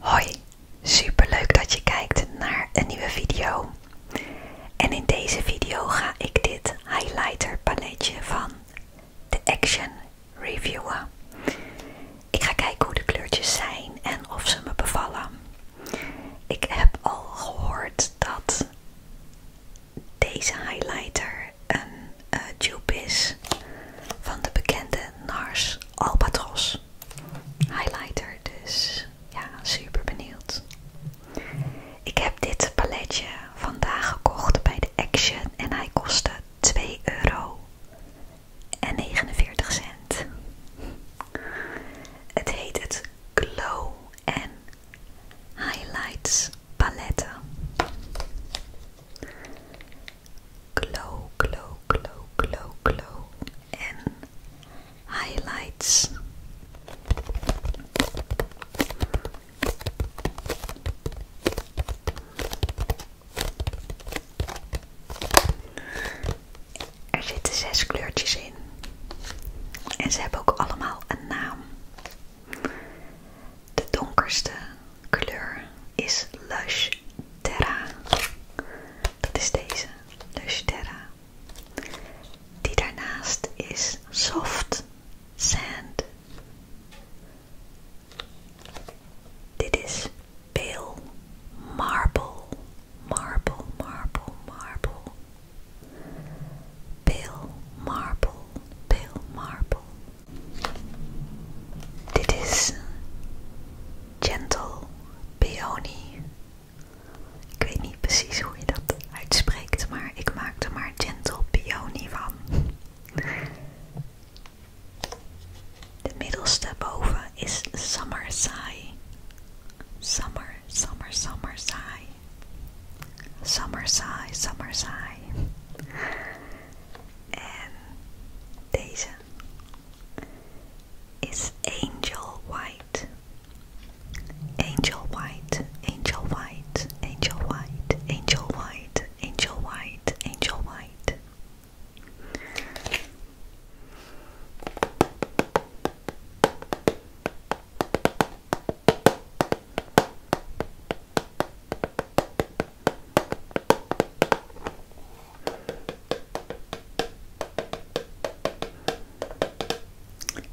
Hoi, super leuk dat je kijkt naar een nieuwe video. En in deze video ga ik dit highlighter paletje van The Action reviewen. Ik ga kijken hoe de kleurtjes zijn en of ze me bevallen. Ik heb al gehoord dat deze highlighter een tube eh, is van de bekende NARS Albatros highlighter. Dus ja, super benieuwd. Ik heb dit paletje vandaag gekocht bij de Action en hij kostte 2 euro 49 cent. Het heet het Glow en Highlights paletten glow, glow, glow, glow, glow en highlights. Er zitten zes kleurtjes in. En ze hebben ook allemaal een naam. De donkerste kleur is Lush Terra. Dat is deze, Lush Terra. Die daarnaast is Soft Sand. Dit is Pale Marble. Marble, marble, marble. Pale marble, pale marble. Dit is Gentle Peony. Ik weet niet precies hoe je dat uitspreekt, maar ik maak er maar Gentle Peony van. De middelste boven is Summer Sigh. Summer, summer, summer sigh. Summer sigh, summer sigh. En deze is angel white. Angel white, angel white, angel white, angel white, angel white, angel white.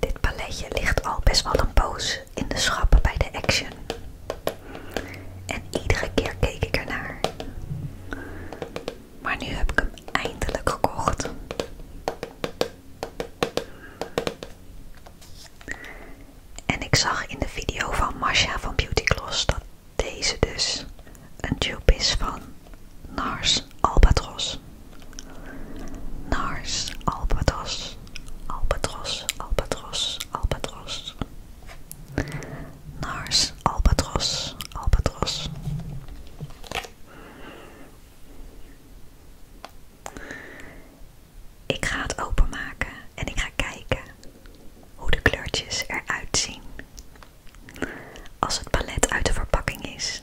Dit paletje ligt al best wel een poos in de schappen bij de Action. En iedere keer keek ik ernaar. Maar nu heb ik hem eindelijk gekocht. En ik zag in de video van Masha van Beauty Gloss dat deze dus, een tube van Nars Albatros. Nars Albatros, Albatros, Albatros, Albatros. Nars Albatros, Albatros. Ik ga het openmaken en ik ga kijken hoe de kleurtjes eruit zien als het palet uit de verpakking is.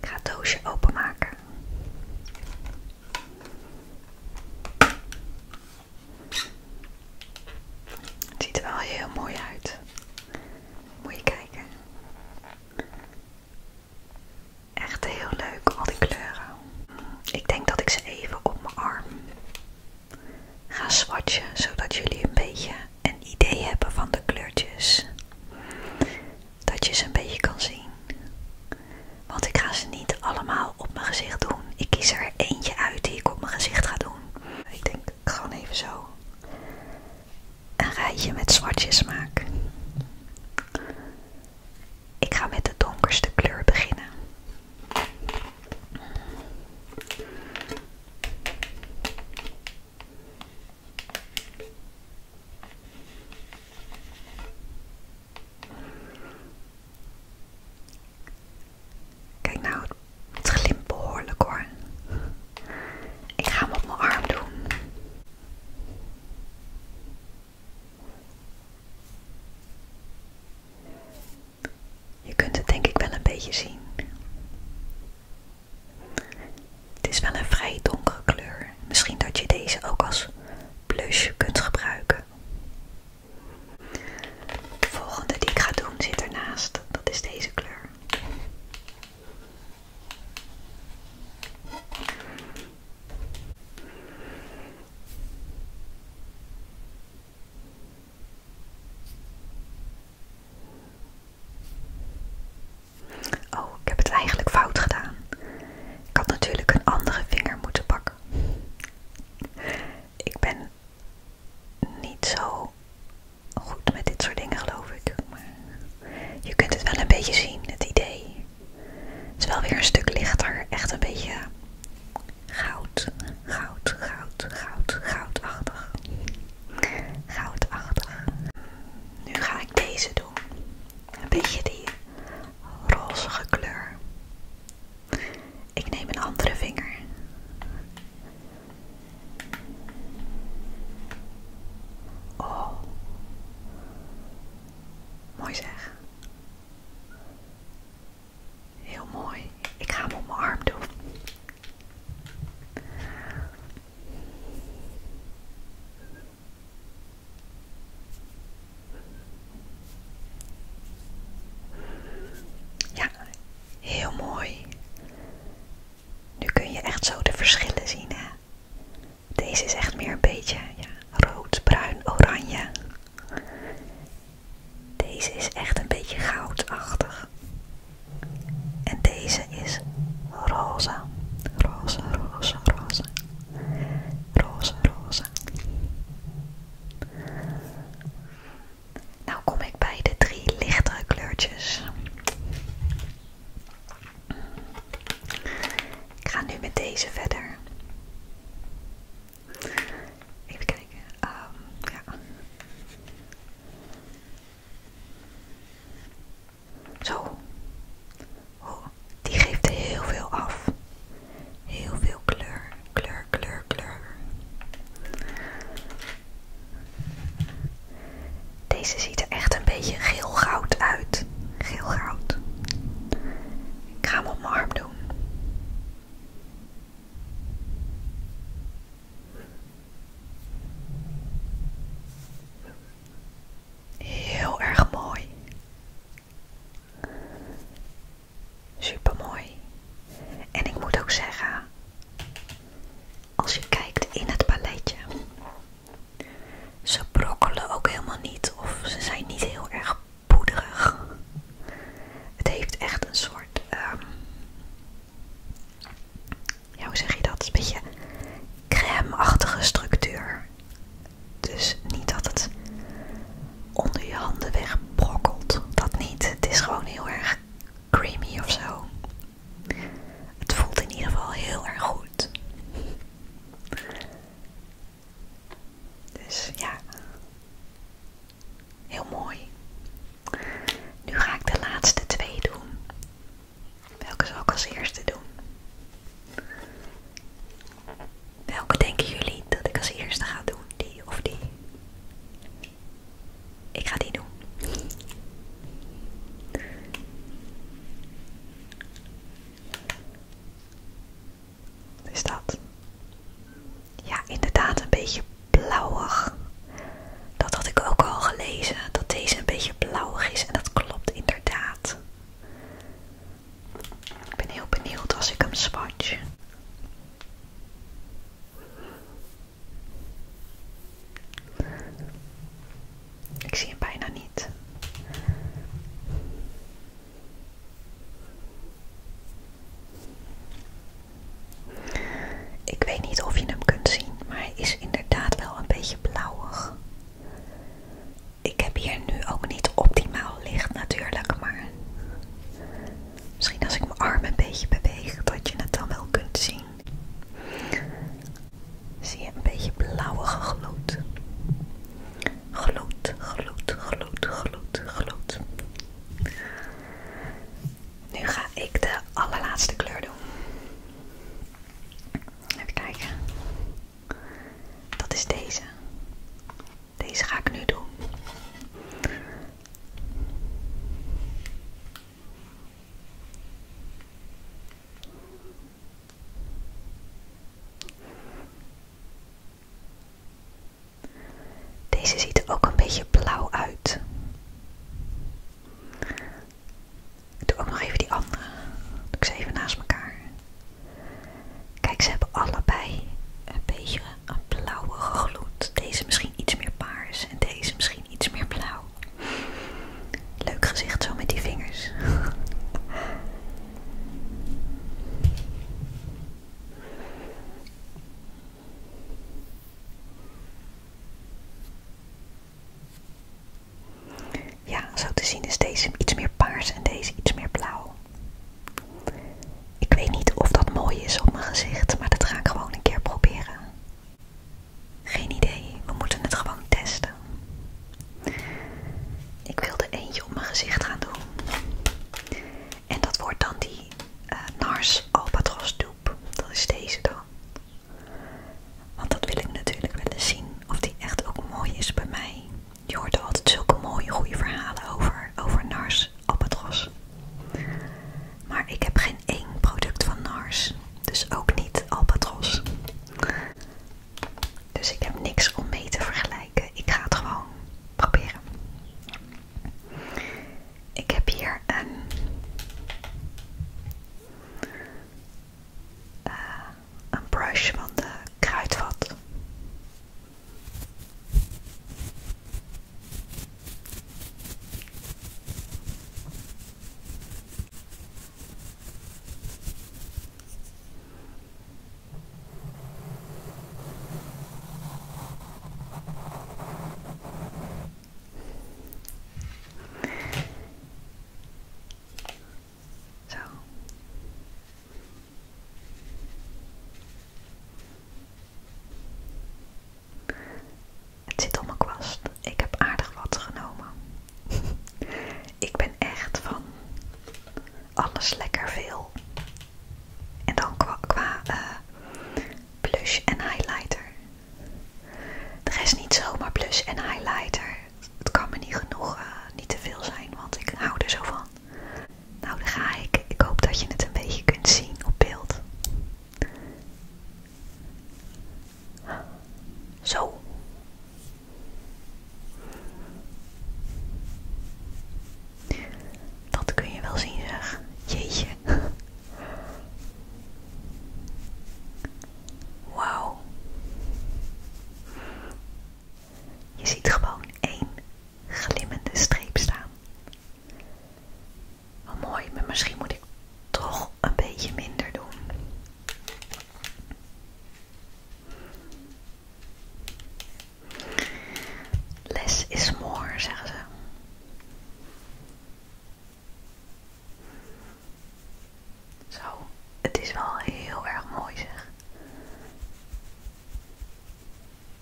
Ik ga het doosje openmaken. Het ziet er wel heel mooi uit. Moet je kijken. Echt heel leuk, al die kleuren. Ik denk dat ik ze even op mijn arm Ga swatchen zodat jullie een beetje een idee hebben van de kleurtjes. Dat je ze een beetje kan zien. Want ik ga ze niet allemaal op mijn gezicht doen. Ik kies er eentje uit die ik op mijn gezicht ga doen. Ik denk ik ga even zo. Een rijtje met zwartjes maken. Ik ga met de donkerste kleur beginnen. Kijk nou, het glimt behoorlijk hoor. Ik ga hem op mijn arm doen. Je kunt het denk ik wel een beetje zien. Het is wel een vrij donkere kleur. Misschien dat je deze ook als blush kunt gebruiken. De volgende die ik ga doen zit ernaast. Dat is deze kleur. Oh, ik heb het eigenlijk fout gedaan. Ik had natuurlijk een andere vinger moeten pakken. Ik ben niet zo goed met dit soort dingen, geloof ik. je kunt het wel een beetje zien, het idee. Het is wel weer een stuk lichter. Echt een beetje Goud, goud, goud, goud, goudachtig. Goudachtig. Nu ga ik deze doen. Een beetje die rozige kleur. Ik neem een andere vinger. Oh. Mooi zeg. Heel mooi. Ik ga hem op mijn arm doen. Ja, heel mooi. Nu kun je echt zo de verschillen zien. Hè? Deze is echt meer een beetje ja, rood, bruin, oranje. Deze is echt een beetje goudachtig. En deze is roze. Roze, roze, roze. Roze, roze. Nou kom ik bij de drie lichtere kleurtjes. Ik ga nu met deze verder. Even kijken. Ehm, Zo. Oh, die geeft heel veel af. Heel veel kleur, kleur, kleur, kleur. Deze ziet er echt een beetje geelgoud uit. geelgoud. goud. Ik ga hem op mijn arm doen. Heel erg mooi. Super mooi. En ik moet ook zeggen, als je kijkt in het paletje, ze brokkelen ook helemaal niet of ze zijn niet heel erg poederig. Het heeft echt een soort ehm, ja, hoe zeg je dat? Een beetje crème-achtige structuur. Dus niet dat het onder je handen wegbrokkelt. Dat niet. Het is gewoon heel erg creamy of zo. Het voelt in ieder geval heel erg goed. Dus ja, Heel mooi. Nu ga ik de laatste twee doen. Welke zal ik als eerste doen? Welke denken jullie dat ik als eerste ga doen? Die of die? Ik ga die doen. Wat is dat? Ja, inderdaad, een beetje blauwig. Dat had ik ook al gelezen, dat deze een beetje blauwig is en dat klopt inderdaad. Ik ben heel benieuwd als ik hem swatch. Ik zie hem bijna niet. Ik weet niet of je hem kunt zien, maar hij is inderdaad wel een beetje blauwig. Ik heb hier nu ook niet optimaal licht natuurlijk, maar misschien als ik mijn arm een beetje beweeg, dat je het dan wel kunt zien. Zie je een beetje blauwige gloed. Gloed, gloed, gloed, gloed, gloed. Nu ga ik de allerlaatste kleur doen. Even kijken. Dat is deze. Deze ga ik nu doen. Deze ziet er ook een beetje blauw uit. Ik doe ook nog even die andere. Doe ik ze even naast elkaar. Kijk, ze hebben allebei een beetje een blauwe gloed. Deze misschien iets meer paars en deze misschien iets meer blauw. Leuk gezicht zo met die vingers. Ja, zo te zien is deze iets meer paars en deze iets meer blauw. Ik weet niet of dat mooi is op mijn gezicht, maar dat ga ik gewoon een keer proberen. Geen idee, we moeten het gewoon testen. Ik wil wilde eentje op mijn gezicht gaan doen. En dat wordt dan die eh, Nars Albatros doop. Dat is deze dan. Want dat wil ik natuurlijk willen zien of die echt ook mooi is bij mij. Je hoort altijd zulke mooie, goede verhalen over, over Nars Albatros. Maar ik heb geen één product van Nars, dus ook niet Albatros. Dus ik heb niks om mee te vergelijken. Ik ga het gewoon proberen. Ik heb hier eh, een brush van de kruidvat. Het zit op mijn kwast. Ik heb aardig wat genomen. Ik ben echt van alles lekker veel. En dan qua, qua eh, blush en highlighter. De is niet zomaar plus en highlighter. Het kan me niet genoeg, eh, niet te veel zijn, want ik hou er zo van. Nou, daar ga ik. Ik hoop dat je het een beetje kunt zien op beeld. Zo. Dat kun je wel zien, zeg. Jeetje. Wauw. Je ziet gewoon één glimmende streep staan. mooi, maar misschien moet ik toch een beetje minder doen. Less is more, zeggen ze. Zo, het is wel heel erg mooi zeg.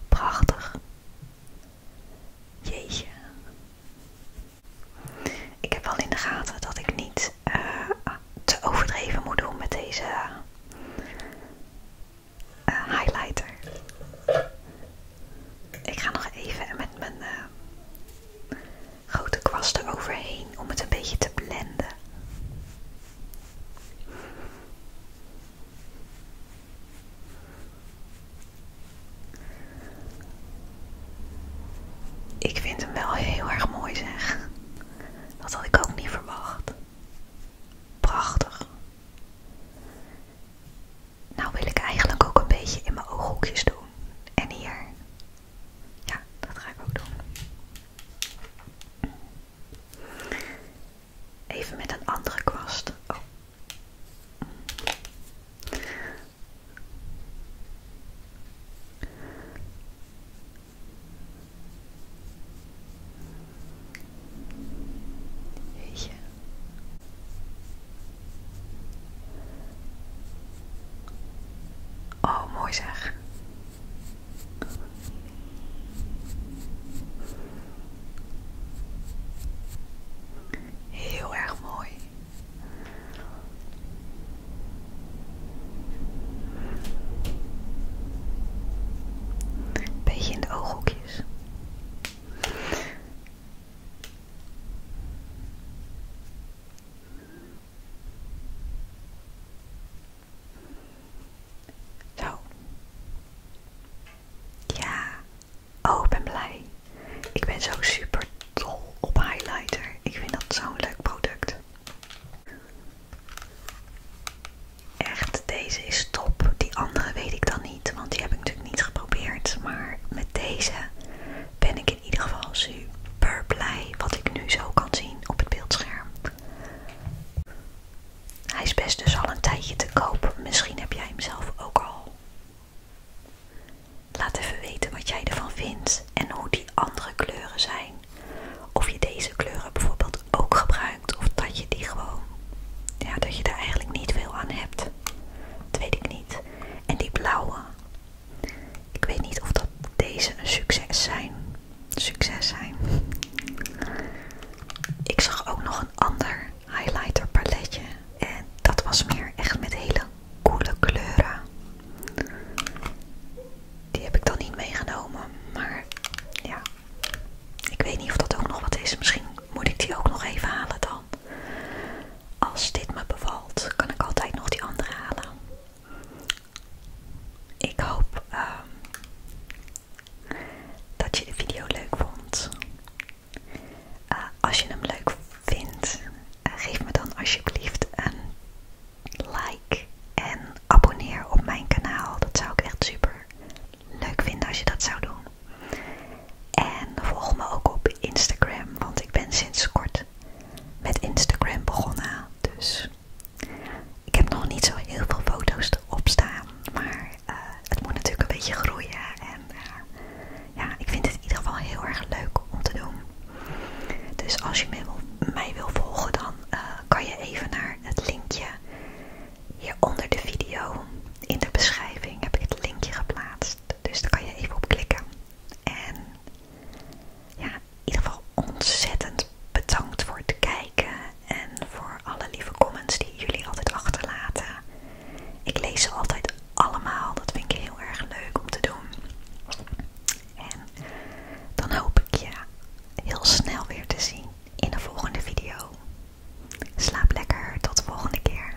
Prachtig. Jeetje. Ik heb wel in de gaten dat ik niet eh, te overdreven moet doen met deze eh, highlighter. Ik ga nog even met mijn eh, grote kwast overheen om het een beetje te blenden. Ik vind hem wel heel erg mooi zeg. Dat had ik ook niet verwacht. Prachtig. Nou wil ik eigenlijk ook een beetje in mijn ooghoekjes doen. En hier. Ja, dat ga ik ook doen. Even met een andere kwast. Oh. Oh, mooi zeg. Heel erg mooi. Beetje in de ooghoekjes. Zo. Ja. Oh, ik ben blij. Ik ben zo super dol op highlighter. Ik vind dat zo'n leuk product. Echt, deze is top. Die andere weet ik dan niet, want die heb ik natuurlijk niet geprobeerd. Maar met deze ben ik in ieder geval super blij wat ik nu zo kan zien op het beeldscherm. Hij is best dus al een tijdje te koop. Misschien heb jij hem zelf ook al. Laat even weten wat jij ervan vindt en hoe die andere kleuren zijn. Of je deze kleuren bijvoorbeeld ook gebruikt of dat je die gewoon, ja dat je daar eigenlijk niet veel aan hebt. Dat weet ik niet. En die blauwe, ik weet niet of dat deze een succes zijn. Succes zijn. Ik zag ook nog een ander highlighter paletje. En dat was meer echt met hele coole kleuren. Die heb ik dan niet meegenomen. Maar ja, ik weet niet of dat ook nog wat is. Misschien moet ik die ook nog even halen dan als dit me bevalt, kan ik altijd nog die andere halen. Ik hoop ehm, dat je de video leuk vond. Eh, als je hem leuk vindt, eh, geef me dan alsjeblieft een like en abonneer op mijn kanaal. Dat zou ik echt super leuk vinden als je dat zou doen. En volg me ook op Instagram, want ik ben sinds kort met Instagram begonnen. Dus ik heb nog niet zo heel veel foto's erop staan. Maar eh, het moet natuurlijk een beetje groeien. En eh, ja, ik vind het in ieder geval heel erg leuk om te doen. Dus als je mij wil, volgen, dan eh, kan je even naar het linkje hieronder de video. In de beschrijving heb ik het linkje geplaatst. Dus daar kan je even op klikken. En in ieder geval ontzettend bedankt voor het kijken en voor alle lieve comments die jullie altijd achterlaten. Ik lees ze altijd allemaal, dat vind ik heel erg leuk om te doen. En dan hoop ik je heel snel weer te zien in de volgende video. Slaap lekker, tot de volgende keer.